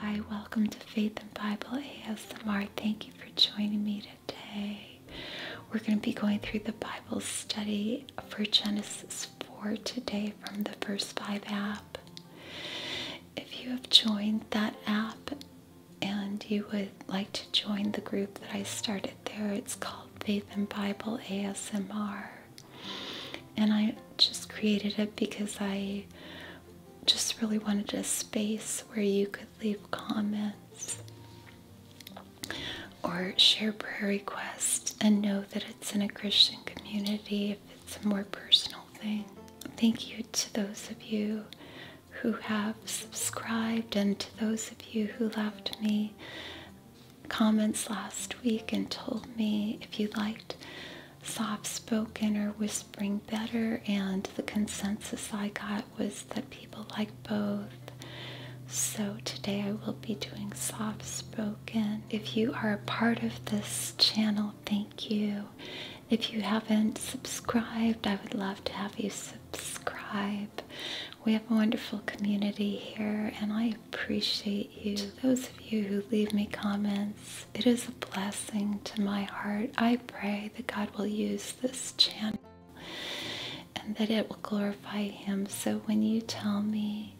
Hi, welcome to Faith and Bible ASMR. Thank you for joining me today. We're going to be going through the Bible study for Genesis 4 today from the First 5 app. If you have joined that app and you would like to join the group that I started there, it's called Faith and Bible ASMR. And I just created it because I just really wanted a space where you could leave comments or share prayer requests and know that it's in a Christian community if it's a more personal thing. Thank you to those of you who have subscribed and to those of you who left me comments last week and told me if you liked soft spoken or whispering better, and the consensus I got was that people like both. So today I will be doing soft spoken. If you are a part of this channel, thank you. If you haven't subscribed, I would love to have you subscribe. We have a wonderful community here, and I appreciate you. Those of you who leave me comments, it is a blessing to my heart. I pray that God will use this channel and that it will glorify Him. So when you tell me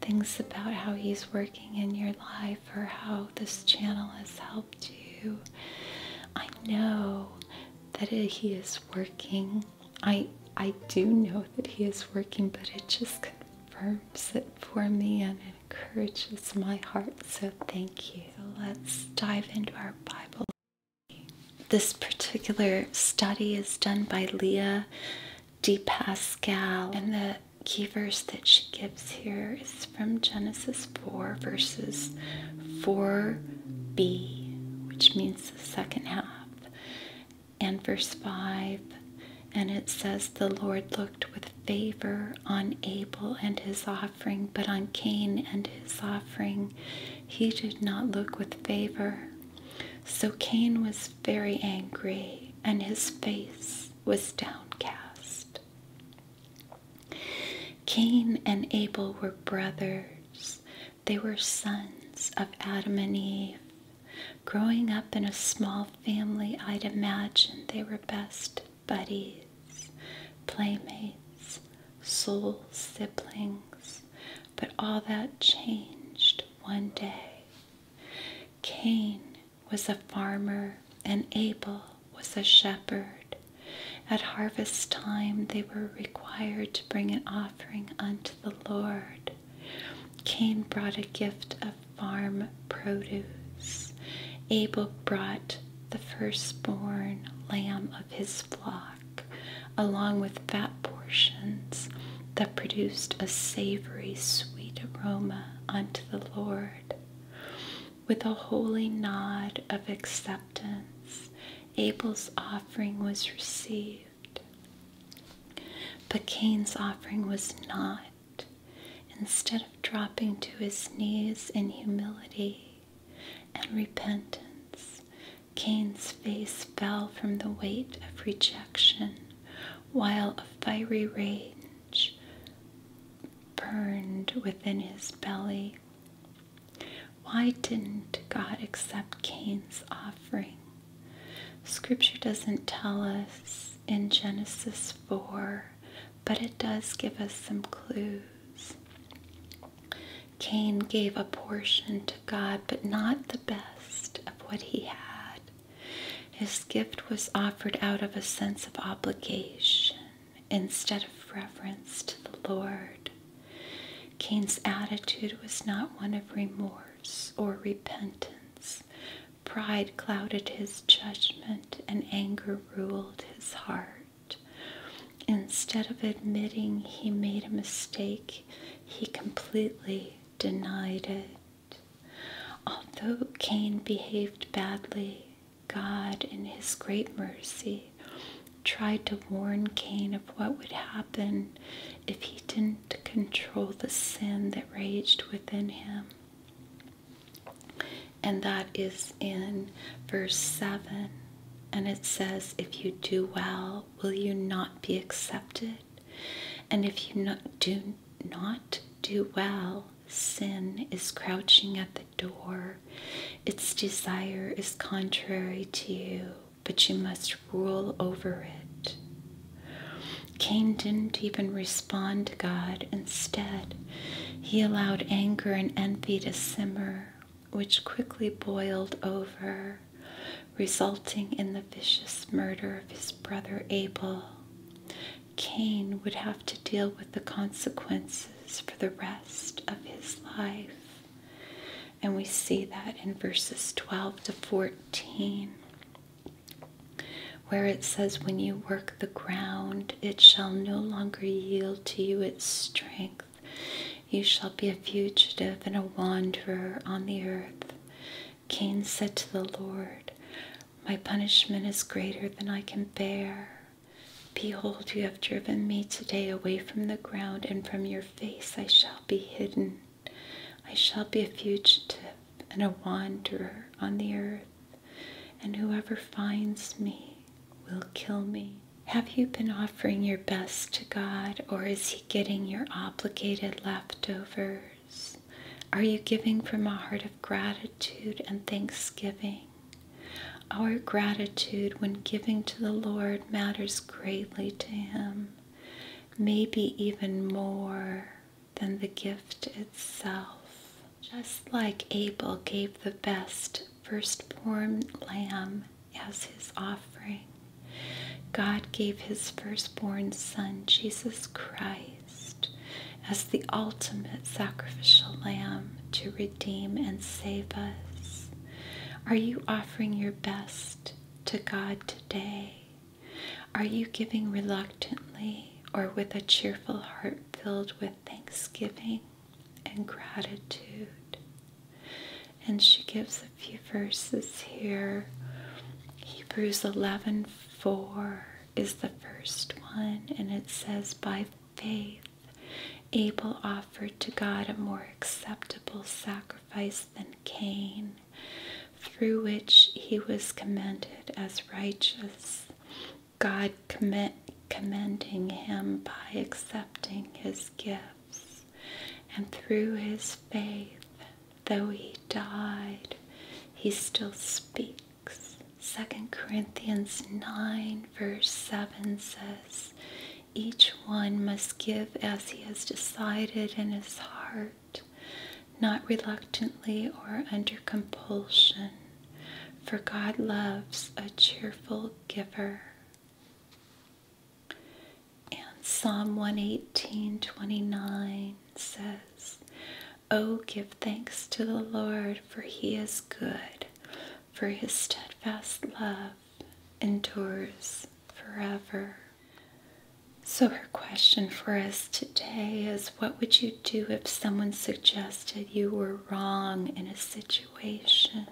things about how He's working in your life or how this channel has helped you, I know that He is working I I do know that he is working, but it just confirms it for me and encourages my heart. So thank you. let's dive into our Bible. This particular study is done by Leah D. Pascal, and the key verse that she gives here is from Genesis 4, verses 4b, which means the second half and verse 5. And it says, The Lord looked with favor on Abel and his offering, but on Cain and his offering he did not look with favor. So Cain was very angry, and his face was downcast. Cain and Abel were brothers, they were sons of Adam and Eve. Growing up in a small family, I'd imagined they were best buddies, playmates, soul siblings. But all that changed one day. Cain was a farmer and Abel was a shepherd. At harvest time, they were required to bring an offering unto the Lord. Cain brought a gift of farm produce. Abel brought the firstborn lamb of his flock, along with fat portions that produced a savory, sweet aroma unto the Lord. With a holy nod of acceptance, Abel's offering was received, but Cain's offering was not. Instead of dropping to his knees in humility and repentance, Cain's face fell from the weight of rejection, while a fiery rage burned within his belly. Why didn't God accept Cain's offering? Scripture doesn't tell us in Genesis 4, but it does give us some clues. Cain gave a portion to God, but not the best of what he had. His gift was offered out of a sense of obligation instead of reverence to the Lord. Cain's attitude was not one of remorse or repentance. Pride clouded his judgment and anger ruled his heart. Instead of admitting he made a mistake, he completely denied it. Although Cain behaved badly, God, in his great mercy, tried to warn Cain of what would happen if he didn't control the sin that raged within him. And that is in verse 7. And it says, If you do well, will you not be accepted? And if you do not do well, sin is crouching at the door. Its desire is contrary to you, but you must rule over it. Cain didn't even respond to God. Instead, he allowed anger and envy to simmer, which quickly boiled over, resulting in the vicious murder of his brother Abel. Cain would have to deal with the consequences for the rest of his life. And we see that in verses 12 to 14, where it says, When you work the ground, it shall no longer yield to you its strength. You shall be a fugitive and a wanderer on the earth. Cain said to the Lord, My punishment is greater than I can bear. Behold, you have driven me today away from the ground, and from your face I shall be hidden. I shall be a fugitive and a wanderer on the earth, and whoever finds me will kill me. Have you been offering your best to God, or is He getting your obligated leftovers? Are you giving from a heart of gratitude and thanksgiving? Our gratitude when giving to the Lord matters greatly to Him, maybe even more than the gift itself. Just like Abel gave the best firstborn lamb as his offering, God gave his firstborn son, Jesus Christ as the ultimate sacrificial lamb to redeem and save us? Are you offering your best to God today? Are you giving reluctantly or with a cheerful heart filled with thanksgiving and gratitude? And she gives a few verses here. Hebrews 11 4 is the first one, and it says, By faith, Abel offered to God a more acceptable sacrifice than Cain, through which he was commended as righteous, God commending him by accepting his gifts. And through his faith, though he died, he still speaks. Second Corinthians 9, verse 7 says, Each one must give as he has decided in his heart, not reluctantly or under compulsion, for God loves a cheerful giver. And Psalm 118, 29 says, Oh, give thanks to the Lord, for he is good, for his steadfast love endures forever. So, her question for us today is What would you do if someone suggested you were wrong in a situation?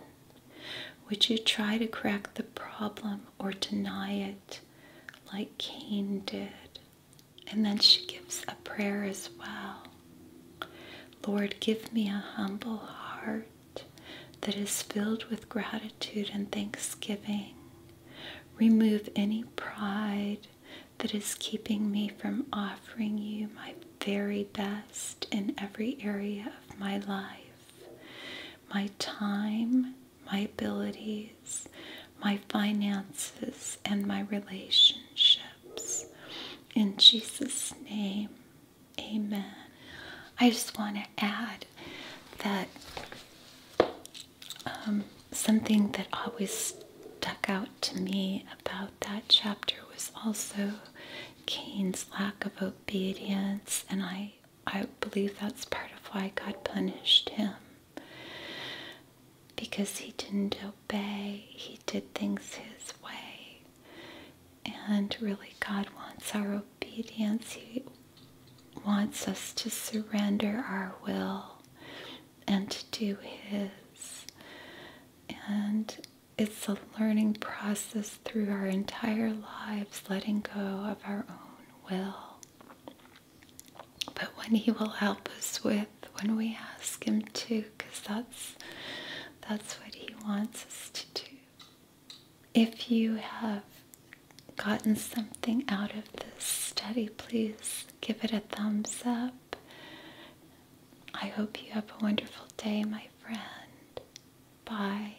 Would you try to correct the problem or deny it like Cain did? And then she gives a prayer as well. Lord, give me a humble heart that is filled with gratitude and thanksgiving. Remove any pride that is keeping me from offering you my very best in every area of my life my time, my abilities, my finances, and my relationships. In Jesus' name, amen. I just want to add that um, something that always stuck out to me about that chapter was also Cain's lack of obedience, and I I believe that's part of why God punished him. Because he didn't obey, he did things his way. And really, God wants our obedience. He wants us to surrender our will and to do His. And it's a learning process through our entire lives, letting go of our own will but when he will help us with when we ask him to because that's that's what he wants us to do if you have gotten something out of this study please give it a thumbs up i hope you have a wonderful day my friend bye